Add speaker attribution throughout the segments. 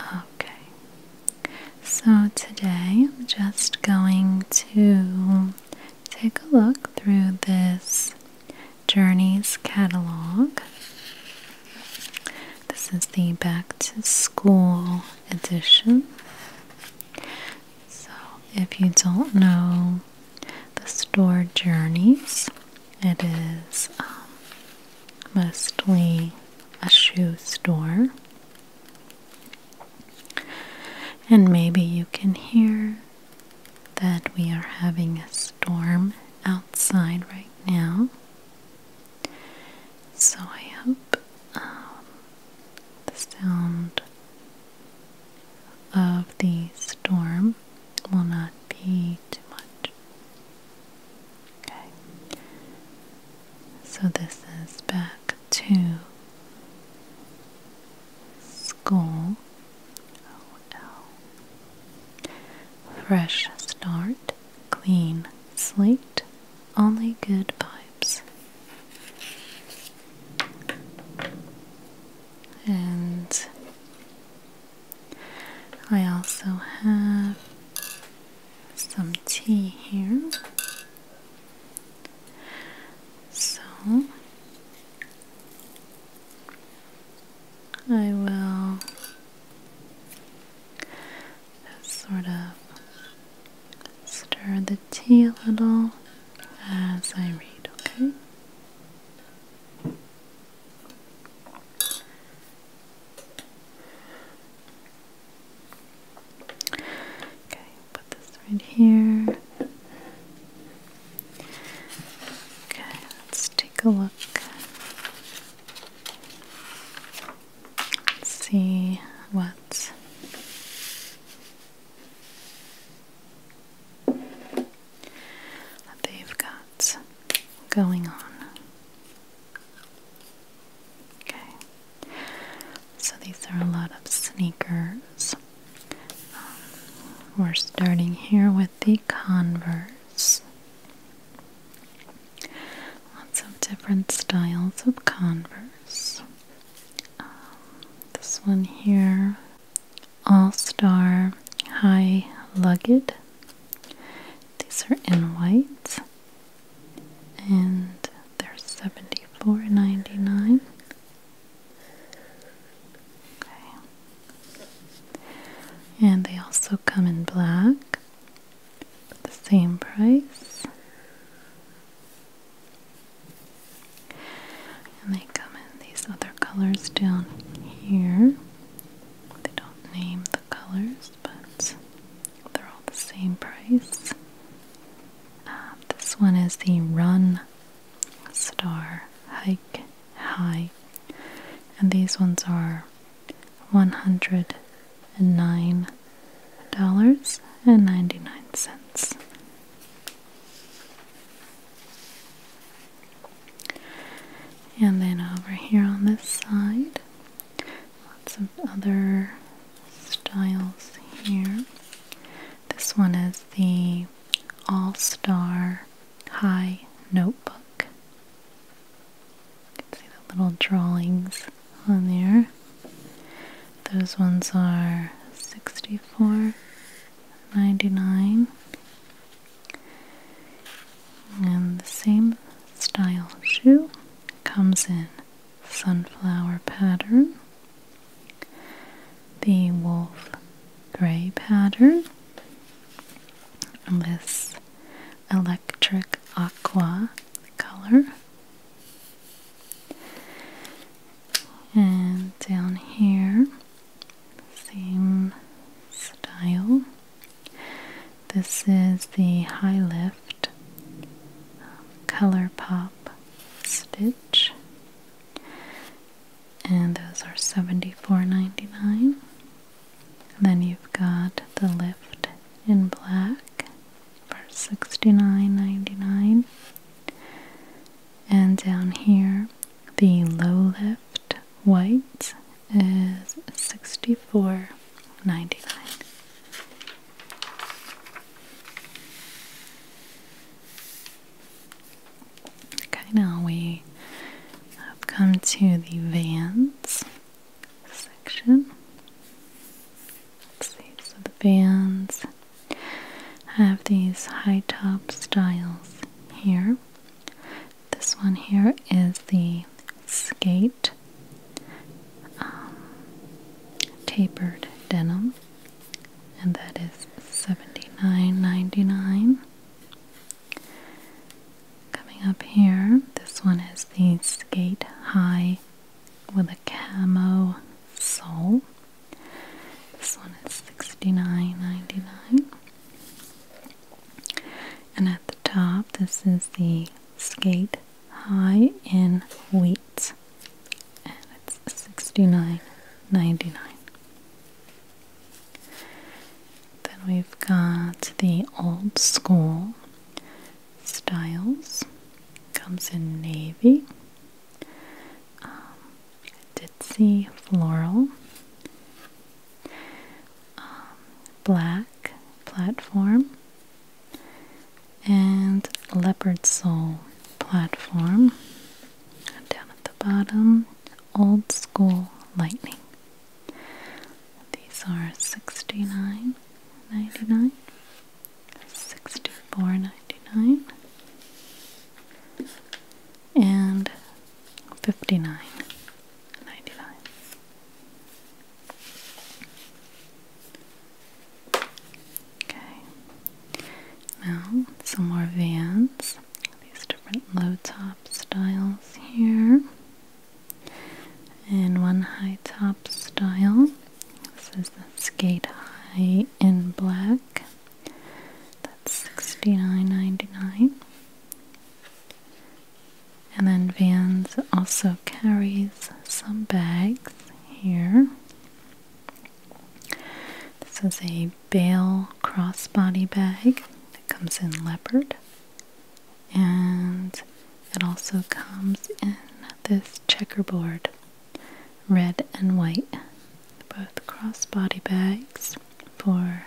Speaker 1: Okay, so today I'm just going to take a look through this Journeys catalog. This is the back to school edition. So, if you don't know the store Journeys, it is um, mostly a shoe store. And maybe you can hear that we are having a storm outside right now. So I hope um, the sound of the storm will not be too much. Okay. So this is back to school. Oh, Fresh start, clean slate, only good vibes. And I also have some tea here. So I will sort of stir the tea a little as I read, okay? Okay, put this right here. Okay, let's take a look. Let's see what they've got going on. Okay, so these are a lot of sneakers. Um, we're starting here with the Converse. Lots of different styles of Converse. Um, this one here all Star High Lugged. These are in white and they're $74.99. Okay. And they also come in black for the same price. And they come in these other colors down here. They don't name the colors, but they're all the same price. Uh, this one is the Run Star Hike High, and these ones are $109.99. And then over here on this side, lots of other styles here. This one is the All Star High Notebook. You can see the little drawings on there. Those ones are 64 99 and the same style shoe comes in sunflower pattern, the wolf gray pattern, this electric aqua color. And down here same style. This is the high lift color pop stitch, and those are seventy four ninety nine. then you've got the lift in black for 69 And down here, the low lift white is sixty-four ninety-nine. Okay, now we have come to the Vans section. so the Vans have these high top styles here. This one here is the skate um, tapered denim, and thats nine ninety nine. Coming up here, this one is the skate high with a camo sole. This one is sixty nine ninety nine. And at the top, this is the Skate High in wheat, And it's 69 Then we've got the Old School Styles. Comes in navy. Um, Ditzy Floral. Um, black platform and leopard sole platform. down at the bottom, old school lightning. These are sixty nine ninety nine, sixty four ninety nine and fifty nine ninety nine. Okay. Now some more vans. These different low top styles here. And one high top style. This is the skate high in black. That's sixty nine ninety nine. And then Vans also carries some bags here. This is a bale crossbody bag. It comes in leopard. And it also comes in this checkerboard, red and white. Both crossbody bags for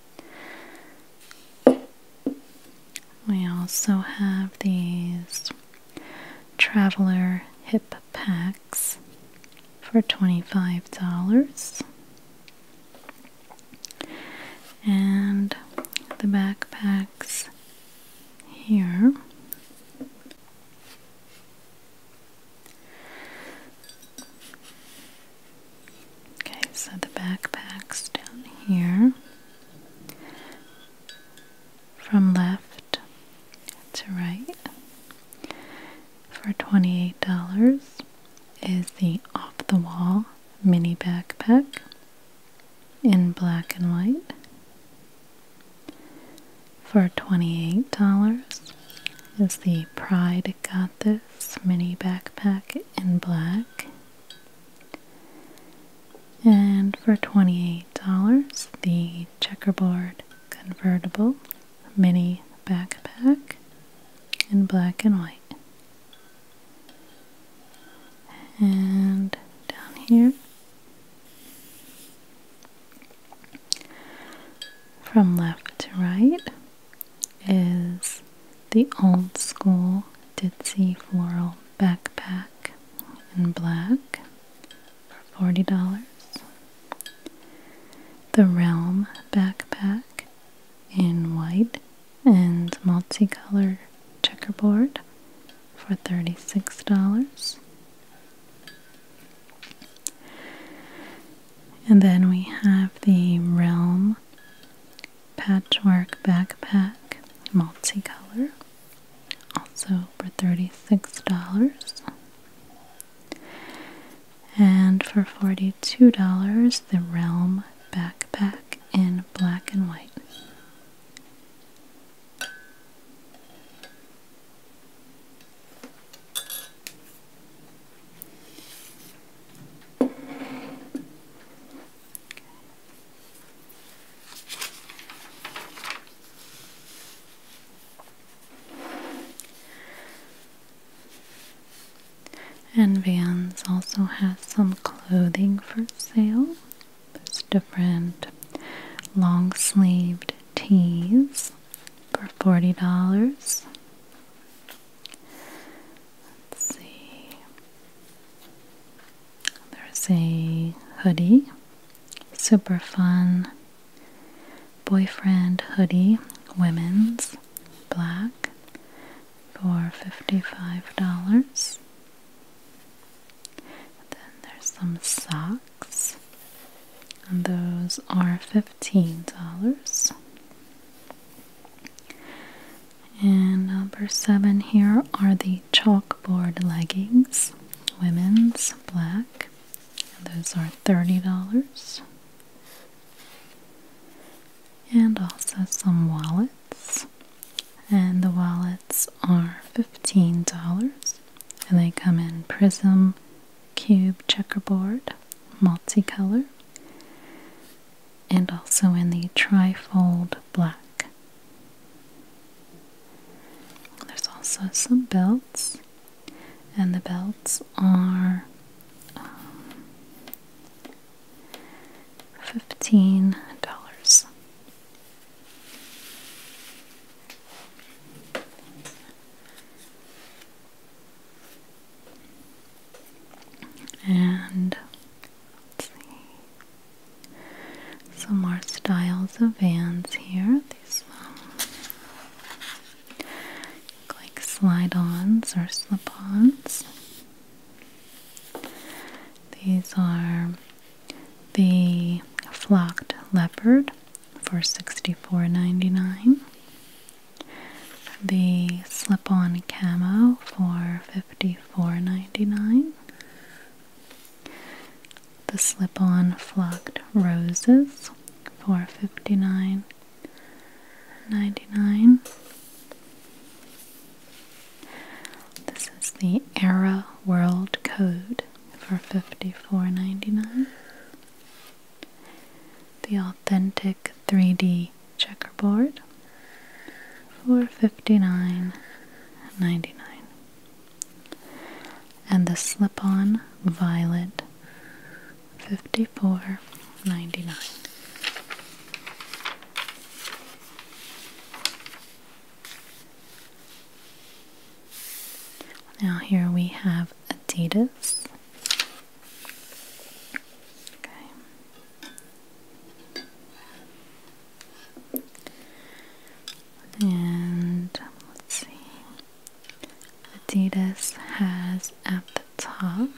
Speaker 1: We also have these traveler hip packs for $25. And the backpacks here. Okay, so the backpack's down here. From left to right for $28 is the off the wall mini backpack in black and white. For $28 is the Pride Got This mini backpack in black and for $28, the checkerboard convertible mini backpack in black and white. And down here, from left to right, is the old school ditzy floral backpack in black for $40. The Realm backpack in white and multicolor checkerboard for $36. And then we have the Realm patchwork backpack, multicolor, also for $36. And for $42, the Realm backpack in black and white. And Vans also has some clothing for sale. There's different long sleeved tees for $40. Let's see. There's a hoodie, super fun boyfriend hoodie, women's black for $55. Then there's some socks, and those are $15. And number seven here are the chalkboard leggings, women's black. Those are $30. And also some wallets. And the wallets are $15. And they come in prism, cube, checkerboard, multicolor and also in the trifold black. There's also some belts, and the belts are um, fifteen dollars. And some more styles of vans here. These um, like slide-ons or slip-ons. These are the flocked leopard for $64.99. The slip-on camo for Fifty-four ninety-nine. The slip on flocked roses for 99 This is the Era World Code for fifty-four ninety-nine. The authentic 3D checkerboard for 99 And the slip on violet fifty four, ninety nine. Now, here we have Adidas. Okay. And let's see. Adidas has at the top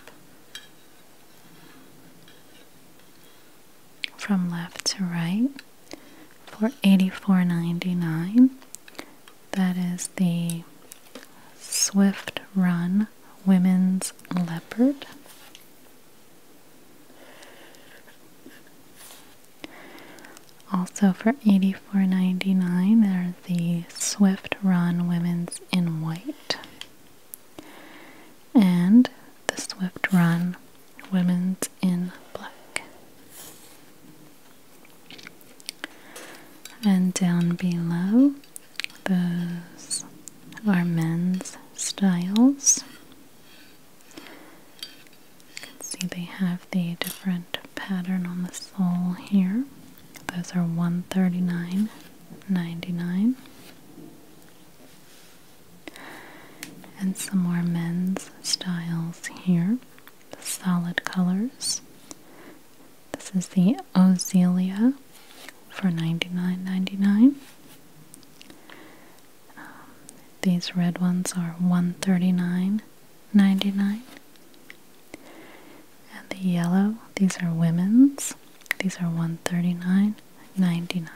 Speaker 1: from left to right for $84.99. That is the Swift Run Women's Leopard. Also for $84.99 are the Swift Run Women's in White and the Swift Run Women's in Black. And down below those are men's styles. see they have the different pattern on the sole here. Those are 139 99 And some more men's styles here. solid colors. This is the Ozelia for 99 99 um, these red ones are 139 99 And the yellow, these are women's. These are 139 99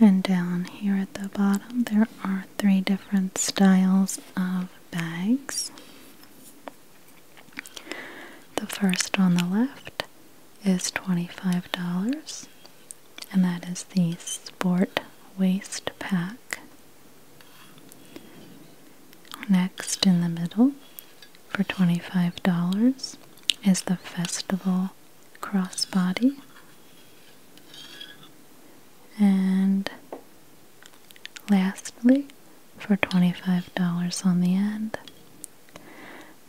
Speaker 1: And down here at the bottom, there are three different styles of bags. The first on the left is $25, and that is the Sport Waist Pack. Next in the middle for $25 is the Festival Crossbody. And Lastly, for $25 on the end,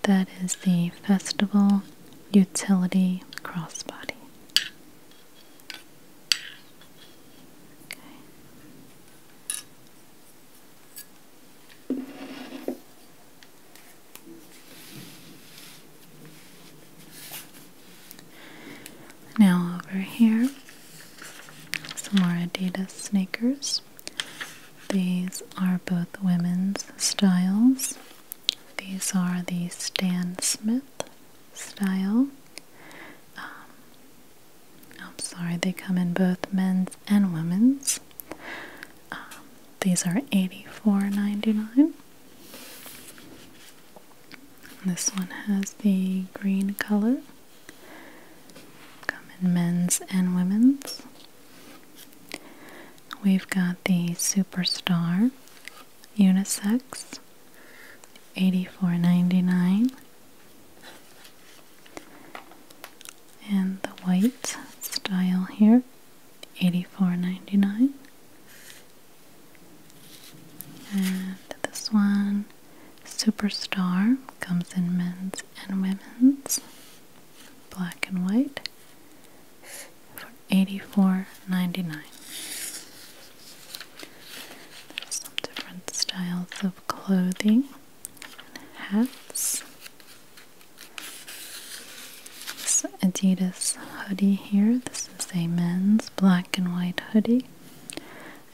Speaker 1: that is the Festival Utility Crossbody. Okay. Now, over here some more Adidas sneakers. These are both women's styles. These are the Stan Smith style. Um, I'm sorry, they come in both men's and women's. Um, these are eighty four ninety nine. This one has the green color come in men's and women's. We've got the Superstar unisex, eighty-four ninety-nine, And the white style here, eighty-four ninety-nine, dollars And this one, Superstar comes in men's and women's, black and white, for 84 some different styles of clothing hats. This Adidas hoodie here. This is a men's black and white hoodie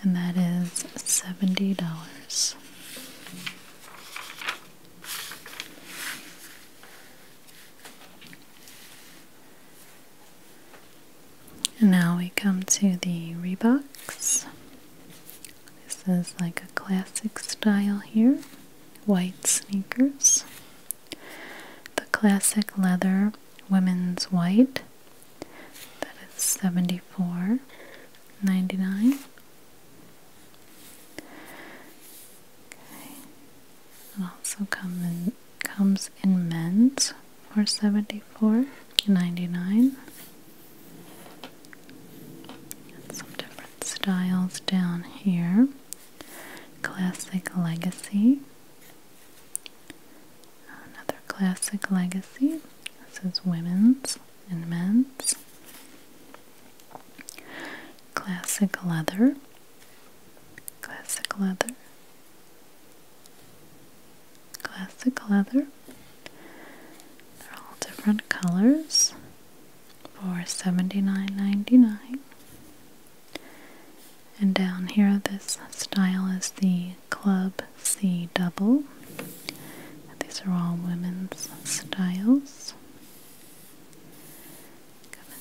Speaker 1: and that is $70. now we come to the Reeboks. This is like a classic style here. White sneakers. The classic leather women's white that is seventy four ninety nine. Okay. It also come in, comes in men's for seventy four ninety nine. And some different styles down here. Classic Legacy. Another classic legacy. This is women's and men's. Classic leather. Classic leather. Classic leather. They're all different colors for $79.99. And down here, this style is the Club C double. These are all women's styles.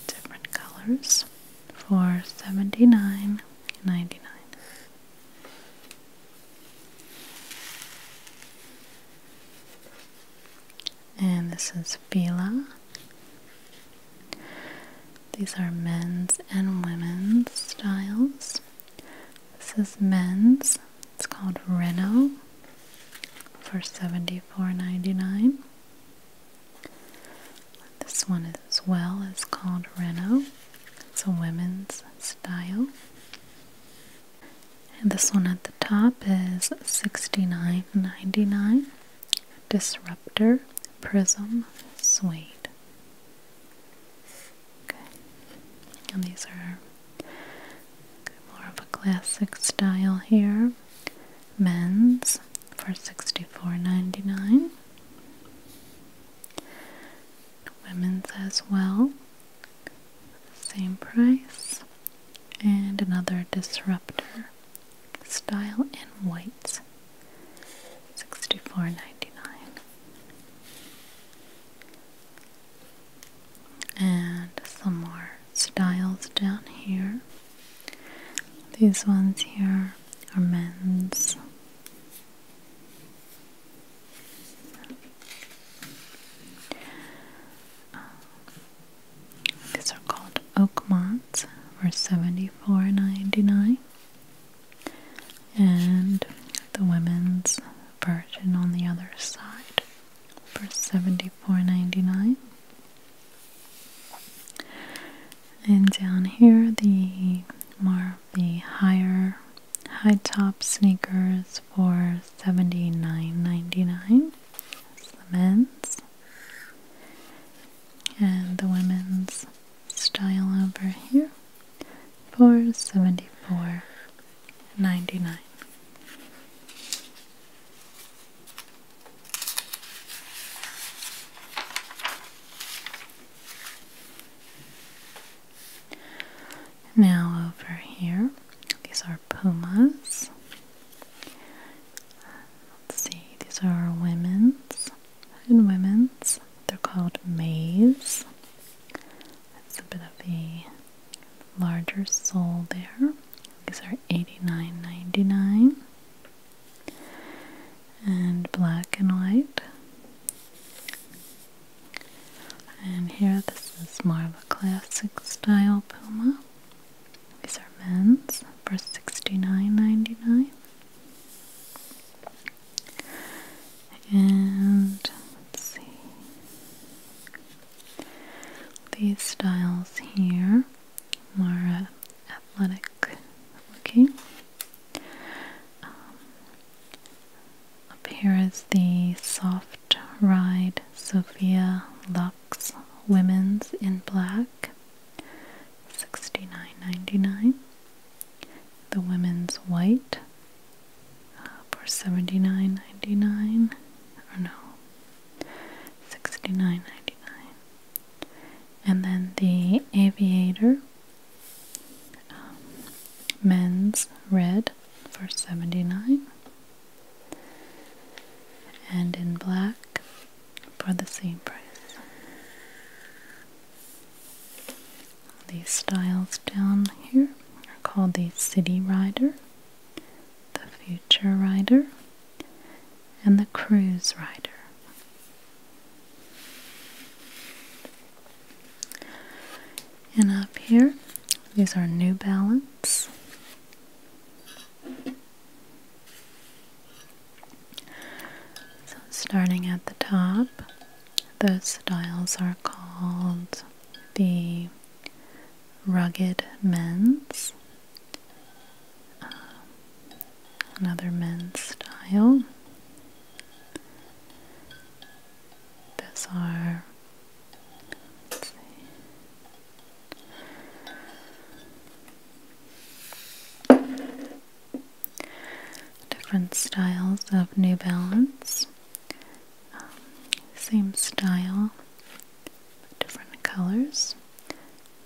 Speaker 1: different colors for $79.99. And this is Fila. These are men's and women's styles. This is men's. It's called Reno for $74.99. This one as well is called Reno. It's a women's style. And this one at the top is $69.99. Disruptor Prism Suede. Okay. And these are more of a classic style here. Men's for $64.99. Women's as well. Same price. And another disruptor style in whites, $64.99 and some more styles down here. These ones here are men's. these are called Oakmonts for $74.99 and the women's version on the other side for $74.99 and down here the more the higher high top sneakers for $79.99 the men's and the women's style over here for seventy four ninety nine. Now over here, these are Pumas. Let's see, these are women's and women's. They're called Mays. That's a bit of a larger sole there. These are eighty nine ninety nine And black and white. And here, this is more of a classic style Puma. These are men's for sixty nine ninety nine. And let's see these styles here, more athletic looking. Um, up here is the Soft Ride Sophia Lux Women's in black, $69.99. The women's white uh, for seventy nine ninety nine, dollars or no, 69 And then the aviator um, men's red for 79 and in black for the same price. These styles down here are called the City Rider, the Future Rider, and the Cruise Rider. And up here, these are New Balance. So, starting at the top, those styles are called the rugged men's, um, another men's style. Those are different styles of New Balance. Um, same style, different colors.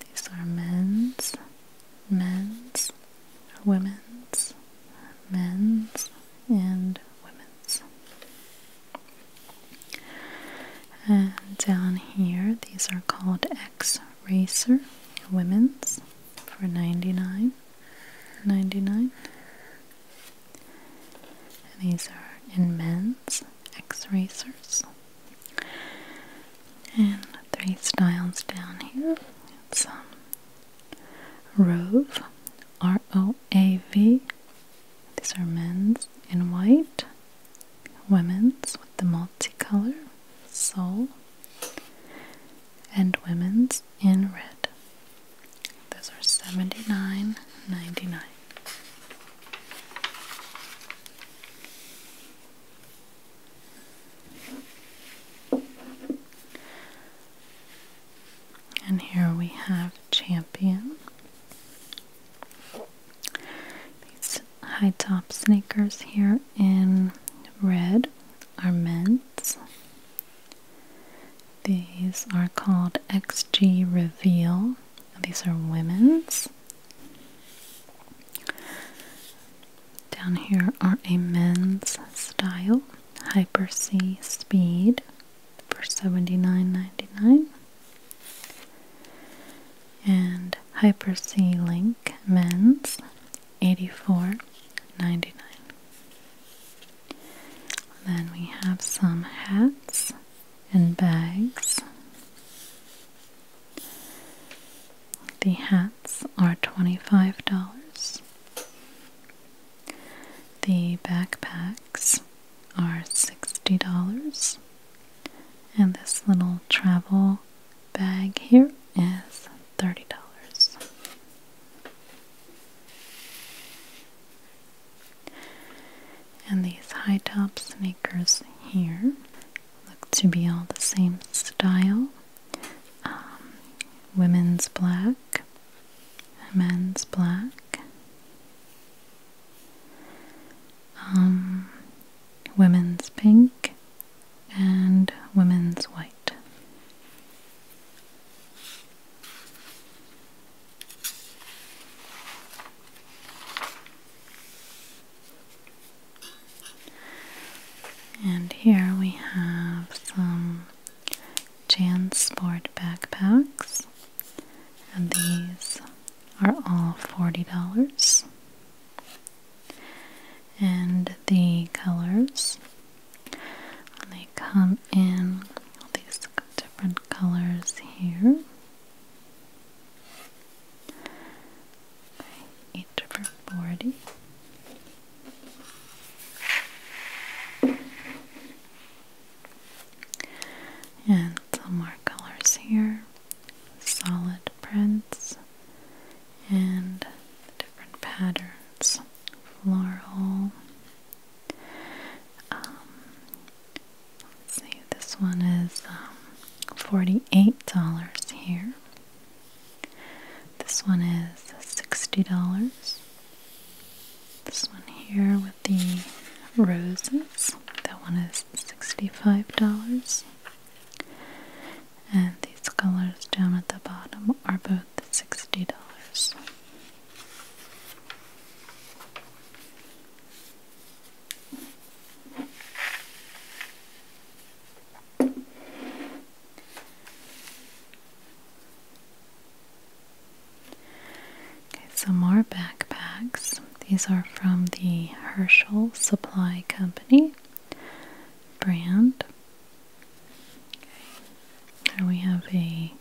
Speaker 1: These are men's, men's, women's, men's, and women's. And down here, these are called X Racer Women's for 99 99 and these are in men's x-racers and three styles down here it's um, Rove R-O-A-V these are men's in white women's with the multicolor sole and women's in red. Those are seventy-nine ninety-nine. And here we have Champion. These high top sneakers here in red are meant. These are called XG Reveal. These are women's. Down here are a men's style, Hyper C Speed for $79.99. And Hyper C Link men's Eighty-four, ninety-nine. Then we have some hats and bags. The hats are $25. The backpacks are $60. And this little travel bag here is $30. And these high top sneakers here look to be all the same style um, women's black, men's black, um, women's pink, and women's white. And here we have some JanSport backpacks, and these are all $40 and the colors. They come in all these different colors here. Okay, eight different forty. And some more colors here. Solid prints and different patterns floral. Um, see, this one is um, $48 here. This one is $60. This one here with the roses, that one is $65 and these colors down at the bottom are both $60. Okay, some more backpacks. These are from the Herschel Supply Company brand. Okay. we have a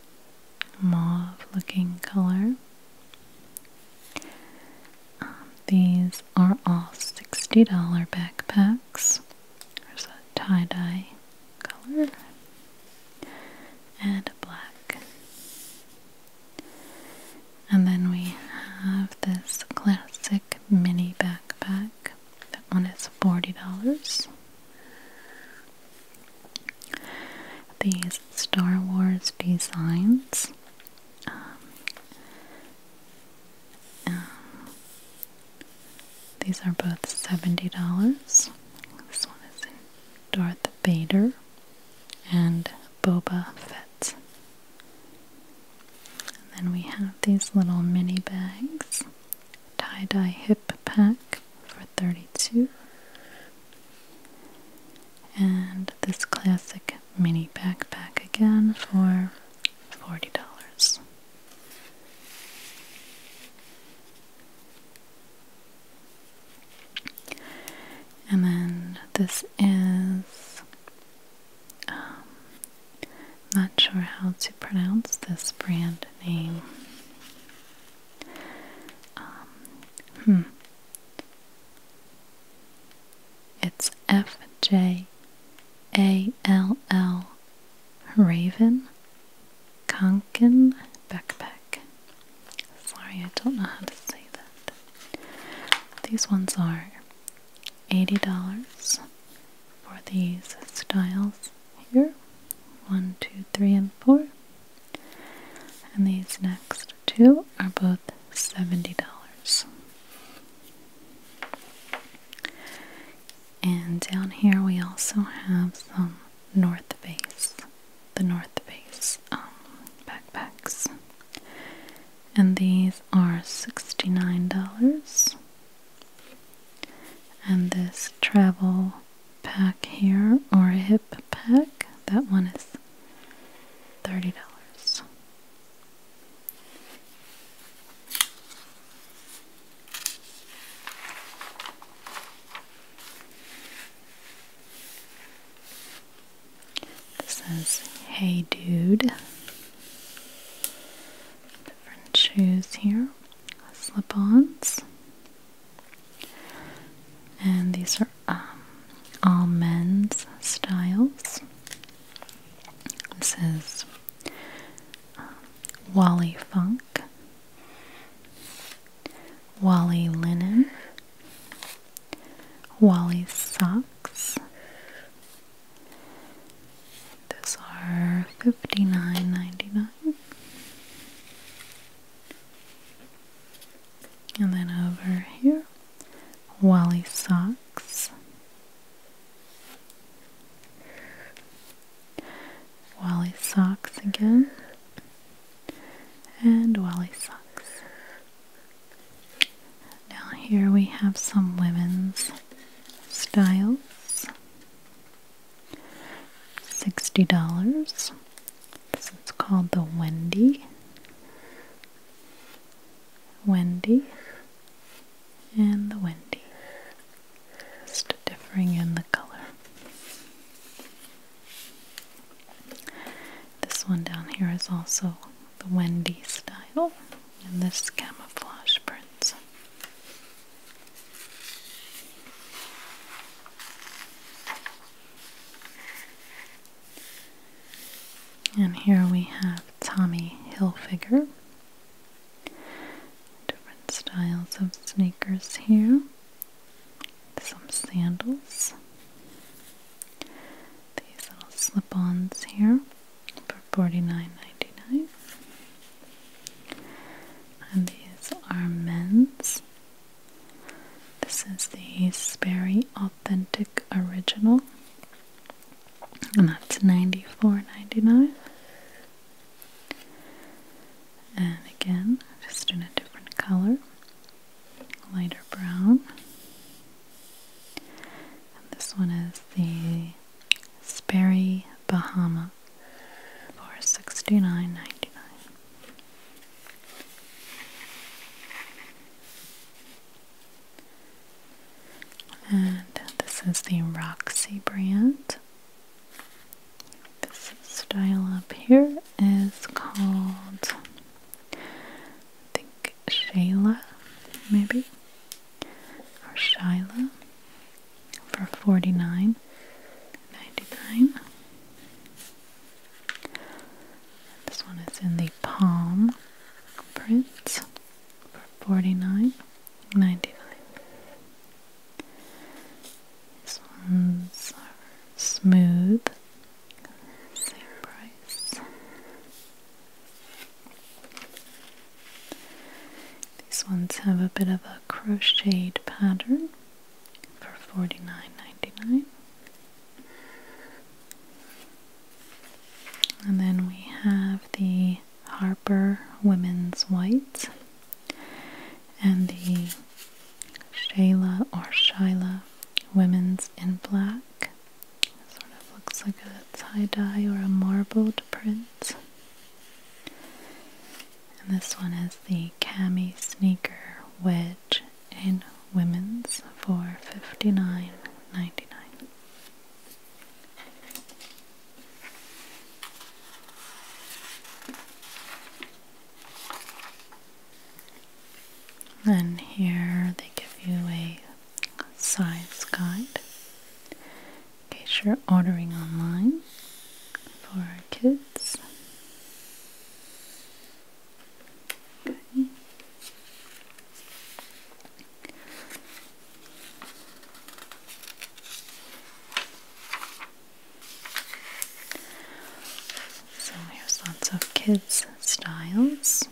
Speaker 1: mauve looking color. Um, these are all $60 backpacks. There's a tie dye color and a black. And then we have this classic mini backpack. That one is $40. These Star Wars designs. Um, um, these are both $70. This one is in Darth Vader and Boba Fett. And then we have these little mini bags tie-dye hip pack for 32 and this classic mini backpack again for $40. And then this is um, I'm not sure how to pronounce this brand name. Um, hmm. It's F J A L L Raven Konkin Backpack. Sorry, I don't know how to say that. These ones are $80 for these styles here one, two, three, and four. And these next two are both $70. And down here we also have some North Face, the North Face um, backpacks. And these are $69 and this travel pack here, or hip pack, that one is $30. This says, Hey Dude. Different shoes here, slip ons, and these are um, all men's styles. This is um, Wally Funk, Wally Linen, Wally Socks. These are fifty nine ninety nine, And then over here, Wally socks. Wally socks again. And Wally socks. Now, here we have some women's styles. $60. This is called the Wendy. Wendy and the Wendy. Just differing in the color. This one down here is also the Wendy style and this camouflage print. And here we have Tommy Hilfiger. Different styles of sneakers here. Some sandals. These little slip ons here for 49 and these are men's this is the Sperry Authentic Original and that's $94.99 and again just in a different color lighter brown and this one is the Sperry, Bahama for sixty nine ninety nine. And this is the Roxy brand. This style up here is called, I think, Shayla, maybe, or Shyla for forty nine ninety nine. This one is in the palm print for forty nine ninety nine. These ones are smooth, same price. These ones have a bit of a crocheted pattern for $49.99. And then we have the Harper Women's White and the Shayla or Shyla Women's in Black. Sort of looks like a tie dye or a marbled print. And this one is the Cami Sneaker Wedge in Women's for $59.99. Then here they give you a size guide in case you're ordering online for our kids. Okay. So here's lots of kids styles.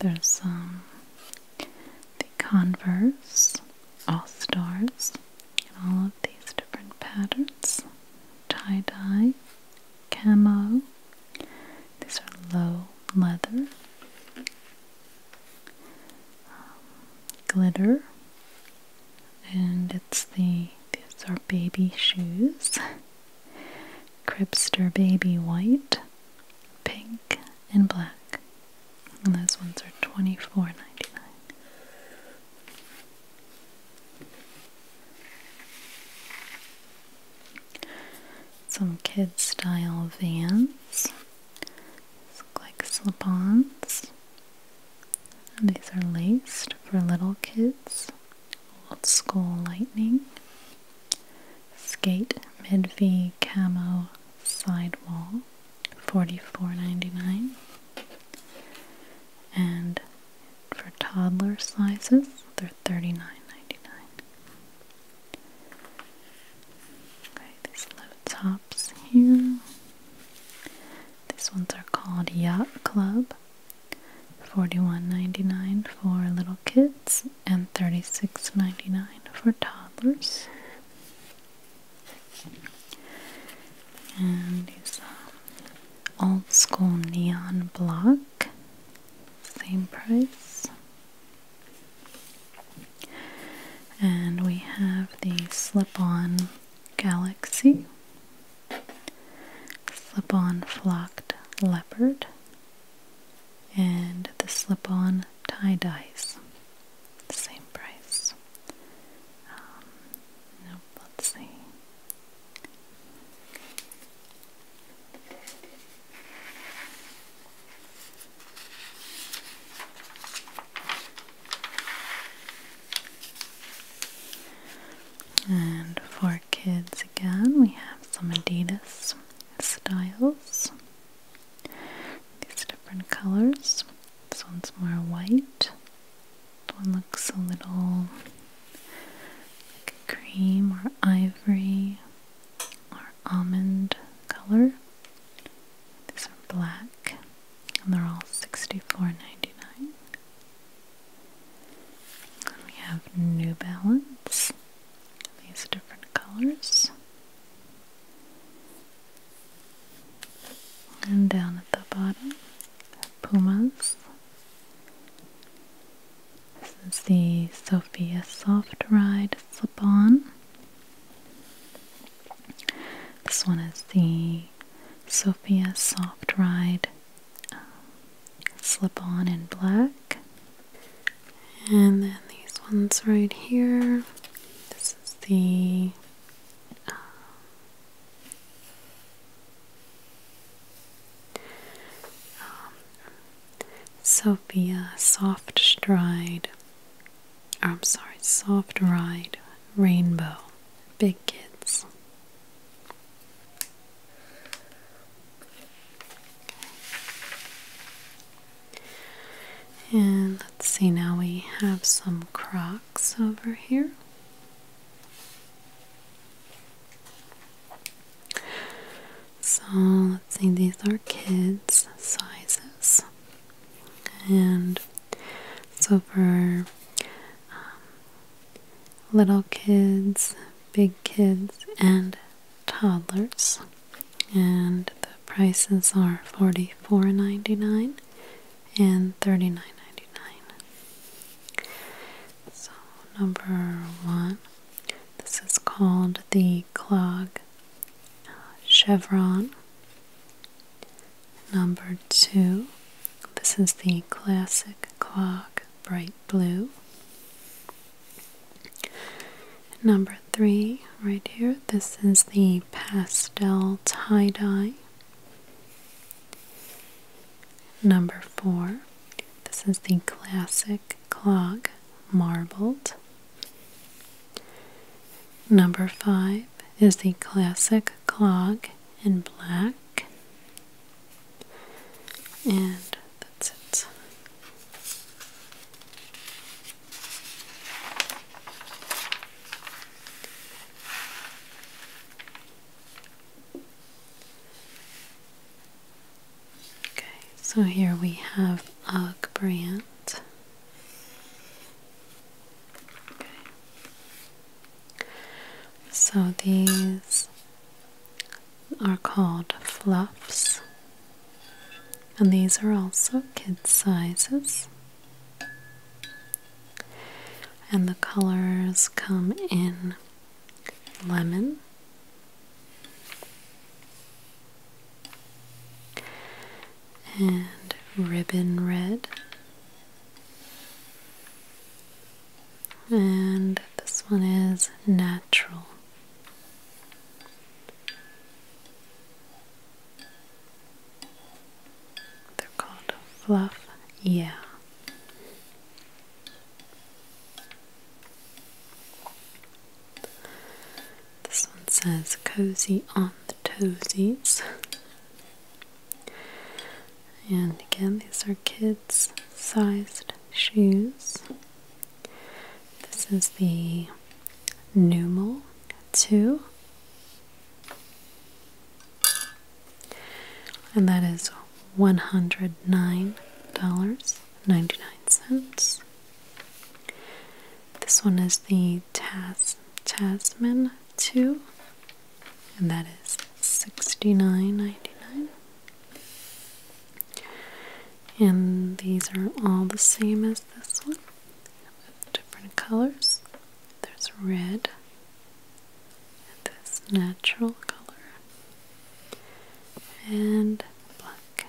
Speaker 1: There's um, the Converse All Stars, and all of these different patterns tie dye, camo. These are low leather, um, glitter, and it's the these are baby shoes. Cribster baby white, pink, in black. And those ones are twenty four ninety nine. Some kid style vans. look like slip-ons. these are laced for little kids. Old school lightning. Skate mid-V camo sidewall. 44 and for toddler sizes they are ninety-nine. okay these little tops here these ones are called yacht club Forty-one ninety-nine for little kids and 36 for toddlers and it's a old school neon block, same price. And we have the slip-on galaxy, slip-on flocked leopard, and the slip-on tie dies, same price. Um, let's see. And for kids again, we have some Adidas styles. These different colors. This one's more white. This one looks a little like a cream or ivory or almond color. These are black and they're all sixty-four ninety-nine. dollars we have New Balance. These different colors. And down at the bottom, Pumas. This is the Sophia Soft Ride Slip On. This one is the Sophia Soft Ride um, Slip On in black and then these ones right here. This is the um, Sophia Soft Stride. Or I'm sorry, Soft Ride Rainbow. Big kids. And let's see, now we have some Crocs over here. So let's see, these are kids' sizes. And so for um, little kids, big kids, and toddlers and the prices are $44.99 and $39.99. So, number one, this is called the clock uh, Chevron. Number two, this is the Classic clock Bright Blue. Number three right here. This is the pastel tie-dye. Number four. This is the classic clog marbled. Number five is the classic clog in black. And that's it. Okay, so here we have Ugg brand. So these are called fluffs. And these are also kid sizes. And the colors come in lemon, and ribbon red, and this one is natural. They're called fluff, yeah. This one says cozy on the toesies. And again, these are kids sized shoes. This is the Numel 2. And that is $109.99. This one is the Tas Tasman 2. And that is $69.99. And these are all the same as this one different colors. There's red, this natural color, and black.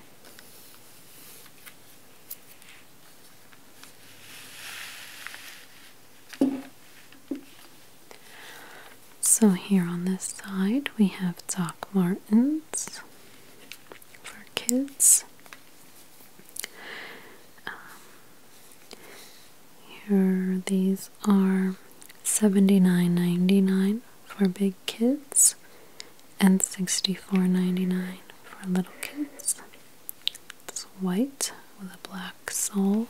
Speaker 1: So here on this side we have Doc Martens for kids um, here, these are 79.99 for big kids and 64.99 for little kids. It's white with a black sole.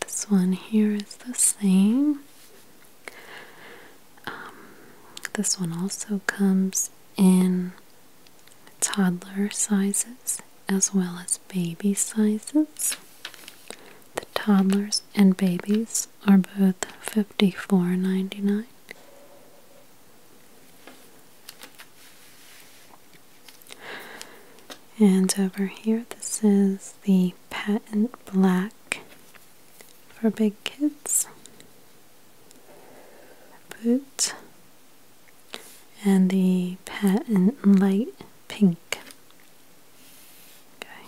Speaker 1: This one here is the same. Um, this one also comes in toddler sizes as well as baby sizes. The toddlers and babies are both fifty-four point ninety-nine. And over here, this is the Patent Black for big kids boot and the patent light pink. Okay.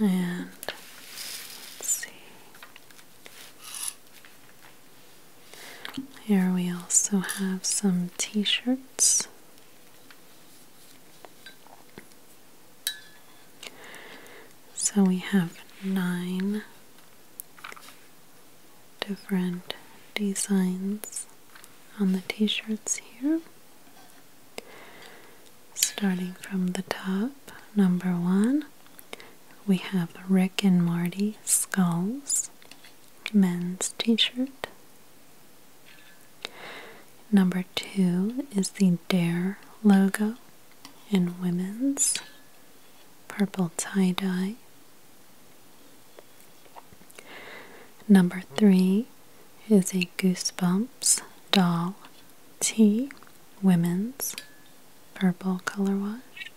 Speaker 1: And let's see. Here we also have some t shirts. So we have nine different designs on the t shirts here. Starting from the top, number one we have Rick and Marty Skulls men's t-shirt. Number two is the Dare logo in women's purple tie-dye. Number three is a Goosebumps doll tee, women's purple color wash.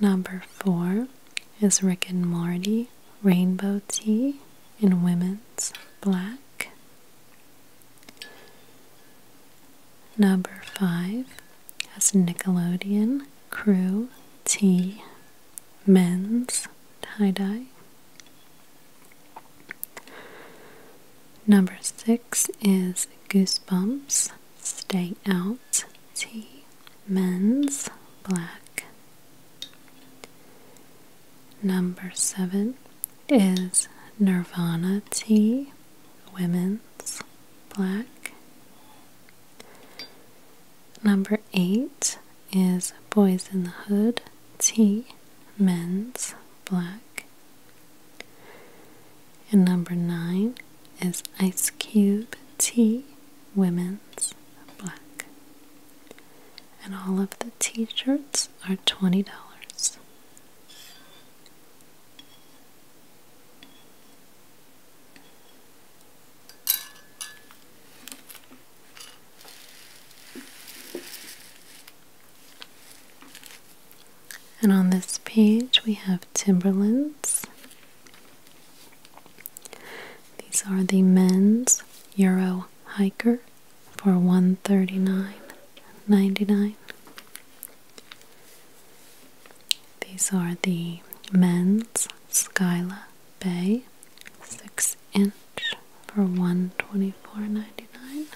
Speaker 1: Number four is Rick and Morty Rainbow Tea in Women's Black. Number five has Nickelodeon Crew Tea Men's Tie Dye. Number six is Goosebumps, Stay Out, T, Men's, Black. Number seven is Nirvana T, Women's, Black. Number eight is Boys in the Hood T, Men's, Black. And number nine is Ice Cube T Women's Black. And all of the t shirts are $20. And on this page, we have Timberlands. These are the men's Euro hiker for one thirty nine ninety nine. These are the men's Skyla Bay 6 inch for one twenty four ninety nine.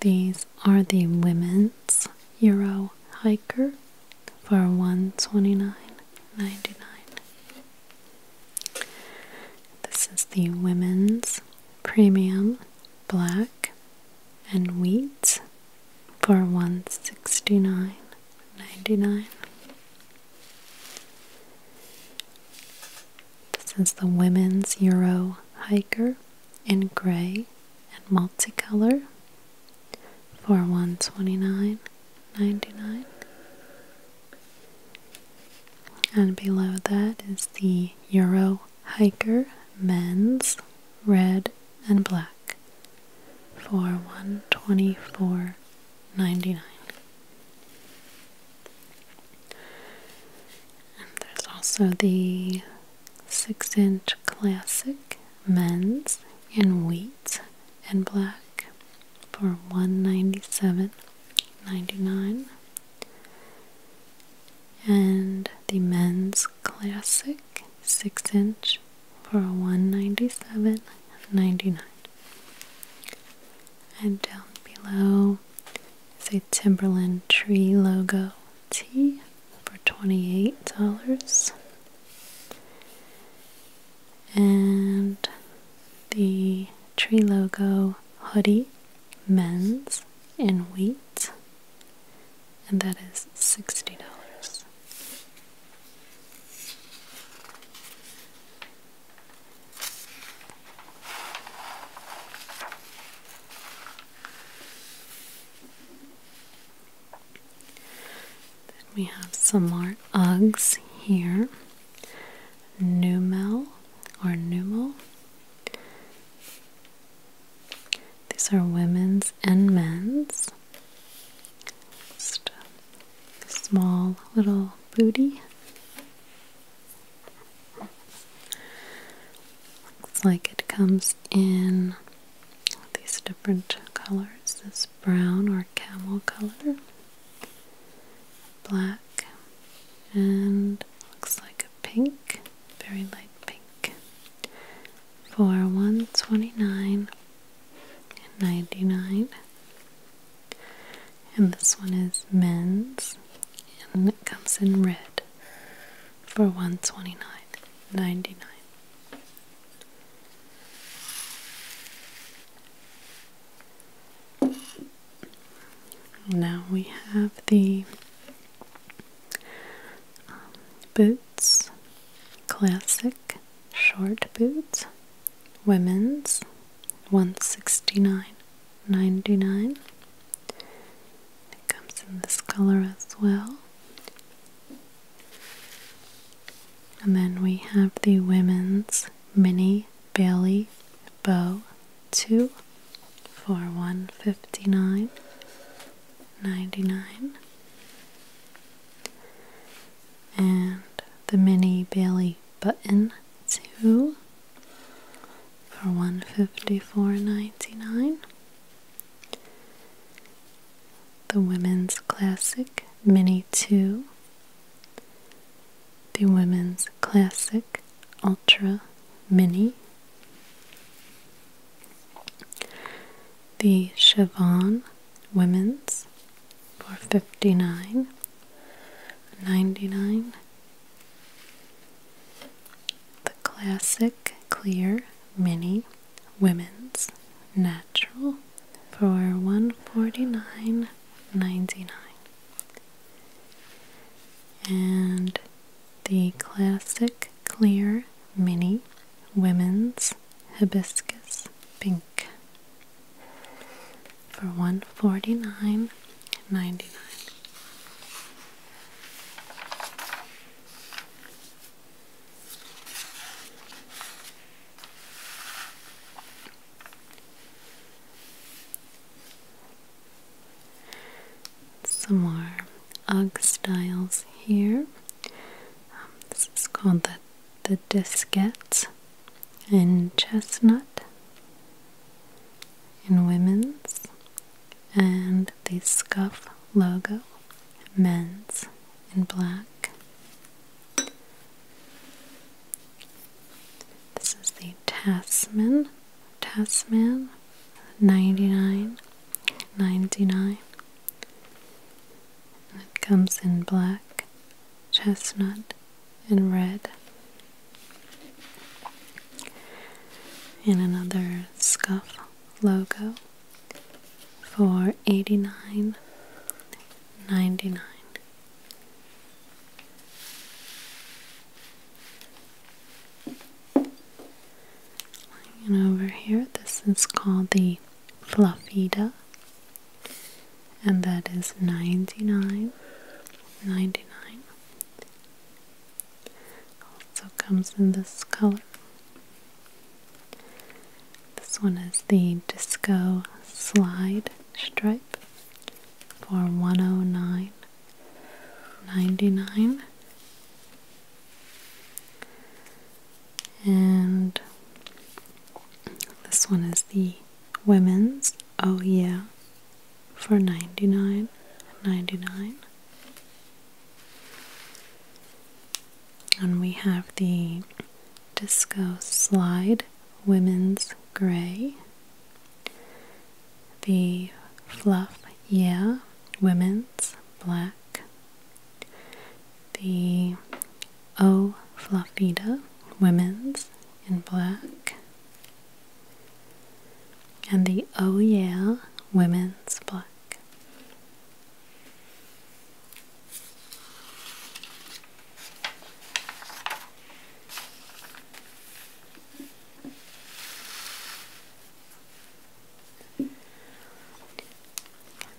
Speaker 1: These are the women's Euro hiker for 129.99. This is the women's premium black and wheat for 169.99. This is the Women's Euro Hiker in gray and multicolor for 129.99 and below that is the Euro Hiker men's red and black for 124.99 and there's also the six inch classic men's in wheat and black for $197.99. And the men's classic six inch for $197.99. And down below is a Timberland Tree Logo tee for $28. And the Tree Logo hoodie, men's in wheat, and that is $60 we have some more Uggs here. Numel or Numel. These are women's and men's. small little booty. Looks like it comes in these different colors this brown or camel color, black, and looks like a pink, very light pink, for 129 and 99 and this one is men's and it comes in red for 129.99 now we have the um, boots classic short boots women's 169 99 It comes in this color as well. And then we have the women's mini Bailey bow 2 for 159 99 and the mini Bailey button 2 for 154.99 the women's classic mini 2 the women's classic ultra mini the Chavon women's for 59 the classic clear mini women's natural for 149.99 and the classic clear mini women's hibiscus pink for one forty nine ninety nine. Some more UGG styles here. Um, this is called the the disquette and chestnut in women's and the scuff logo men's in black this is the tasman tasman 99 99 and it comes in black chestnut in red. And another scuff logo for eighty nine ninety nine. And over here, this is called the Fluffida and that is nine, ninety nine. also comes in this color this one is the disco slide stripe for one oh nine, ninety nine. and this one is the women's oh yeah for ninety nine ninety nine. And we have the Disco Slide Women's Gray, the Fluff Yeah Women's Black, the O flaffita Women's in Black, and the Oh Yeah Women's Block.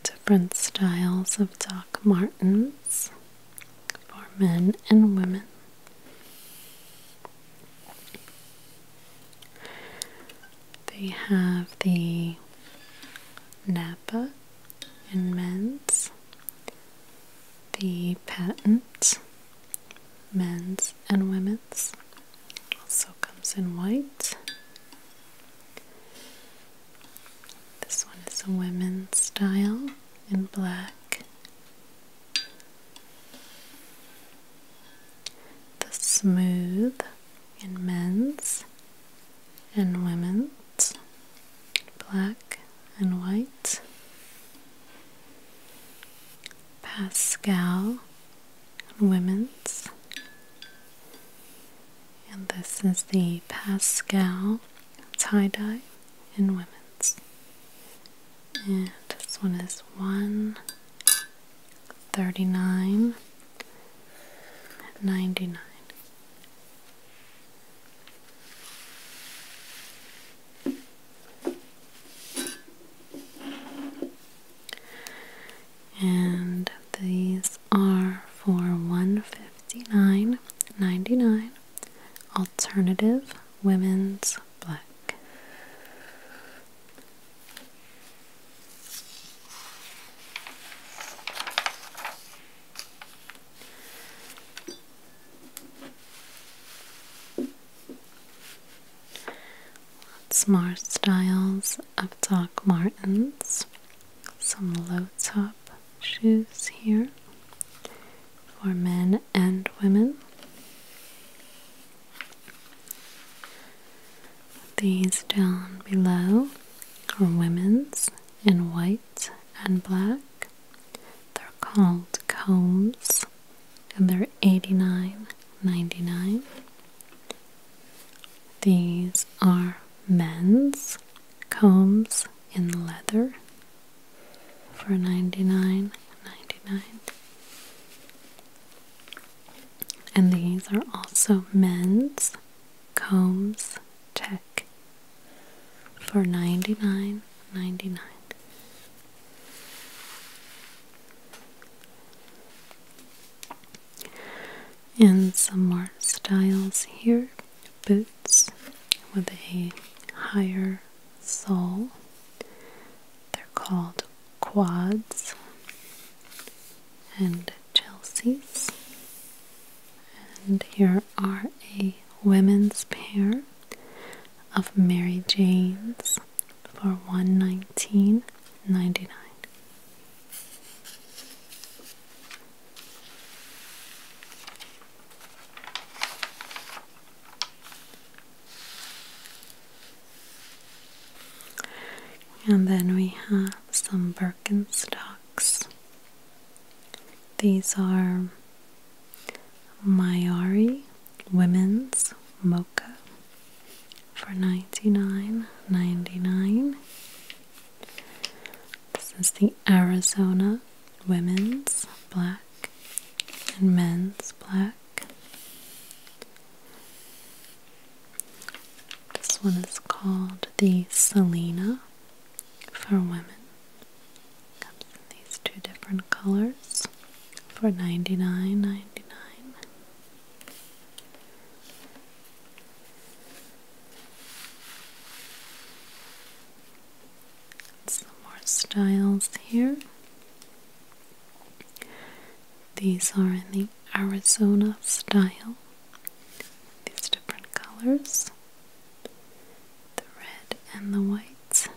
Speaker 1: Different styles of Doc Martens for men and women. They have the Napa in men's, the patent men's and women's, also comes in white. This one is a women's style in black the smooth in men's and women's, black and white, Pascal women's, and this is the Pascal tie dye in women's. And this one is 139 99 and these are for 159.99 alternative women's black. Lots more styles of Doc Martens, some low top shoes here for men and women. These down below are women's in white and black. They're called combs and they are ninety nine. These are men's combs in leather for 99.99 .99. and these are also men's combs tech for 99.99 .99. And some more styles here boots with a higher sole. They're called quads and Chelsea's. And here are a women's pair of Mary Jane's for one nineteen ninety nine. And then we have some Birkenstocks. These are Mayari Women's Mocha for 99 99 This is the Arizona women's black and men's black. This one is called the Selena for women. Comes in these two different colors for ninety nine ninety nine. Some more styles here. These are in the Arizona style. These different colors the red and the whites.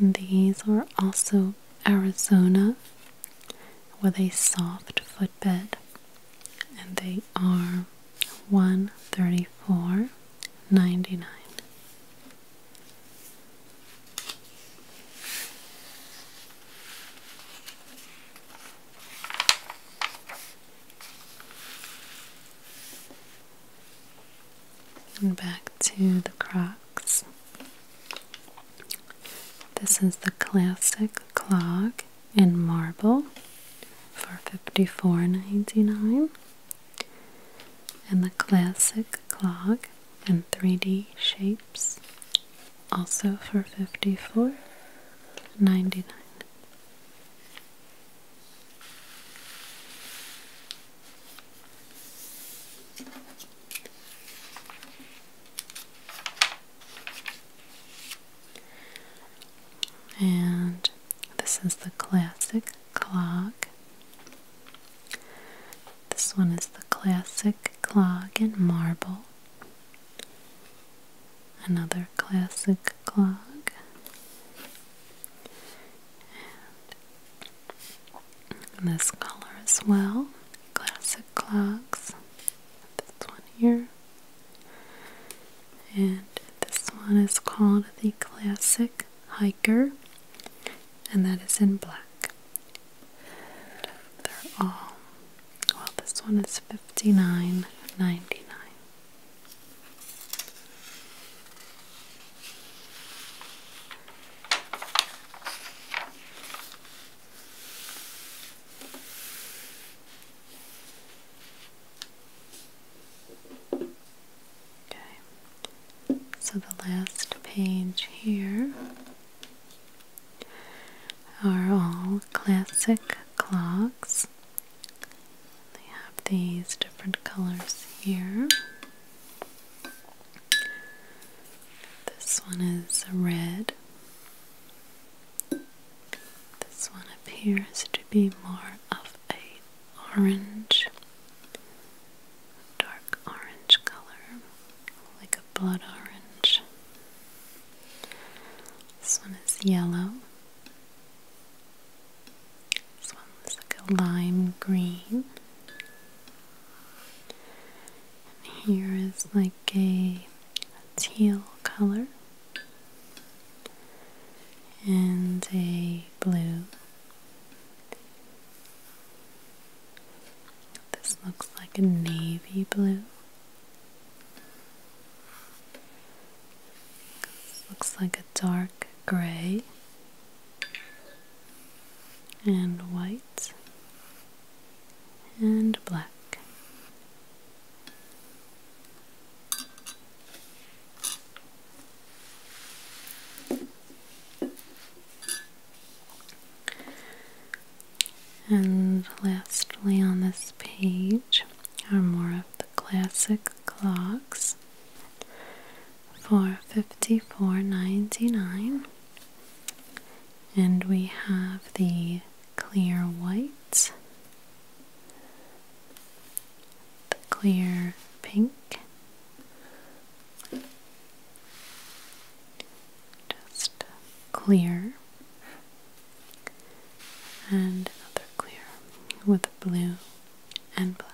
Speaker 1: these are also Arizona with a soft footbed, and they are 134 ninety nine. And back to the Crocs. This is the classic clock in marble for fifty four ninety nine and the classic clock in 3D shapes, also for 54 99 and this is the classic clock. This one is the classic clog in marble. Another classic clog. And this color as well. Classic clocks. This one here. And this one is called the Classic Hiker, and that is in black. they're all, well, this one is fifty nine ninety nine. Okay, so the last page here are all classic clocks. They have these different colors here. This one is red. This one appears to be more of a orange, dark orange color, like a blood orange. This one is yellow. This one is like a lime green. And here is like a teal color and a blue. This looks like a navy blue. This looks like a dark gray and white and black. And lastly, on this page are more of the classic clocks for 54 And we have the clear white the clear pink. Just clear and another clear with blue and black.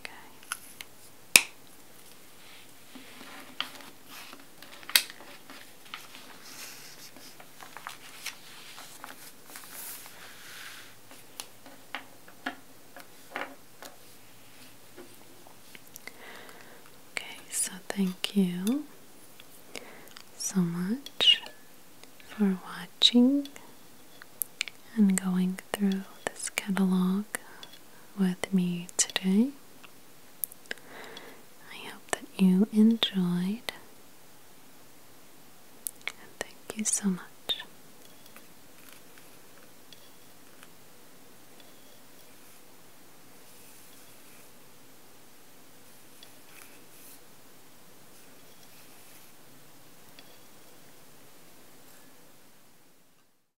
Speaker 1: Okay. Okay, so thank you so much for watching and going through this catalog with me today. I hope that you enjoyed, and thank you so much.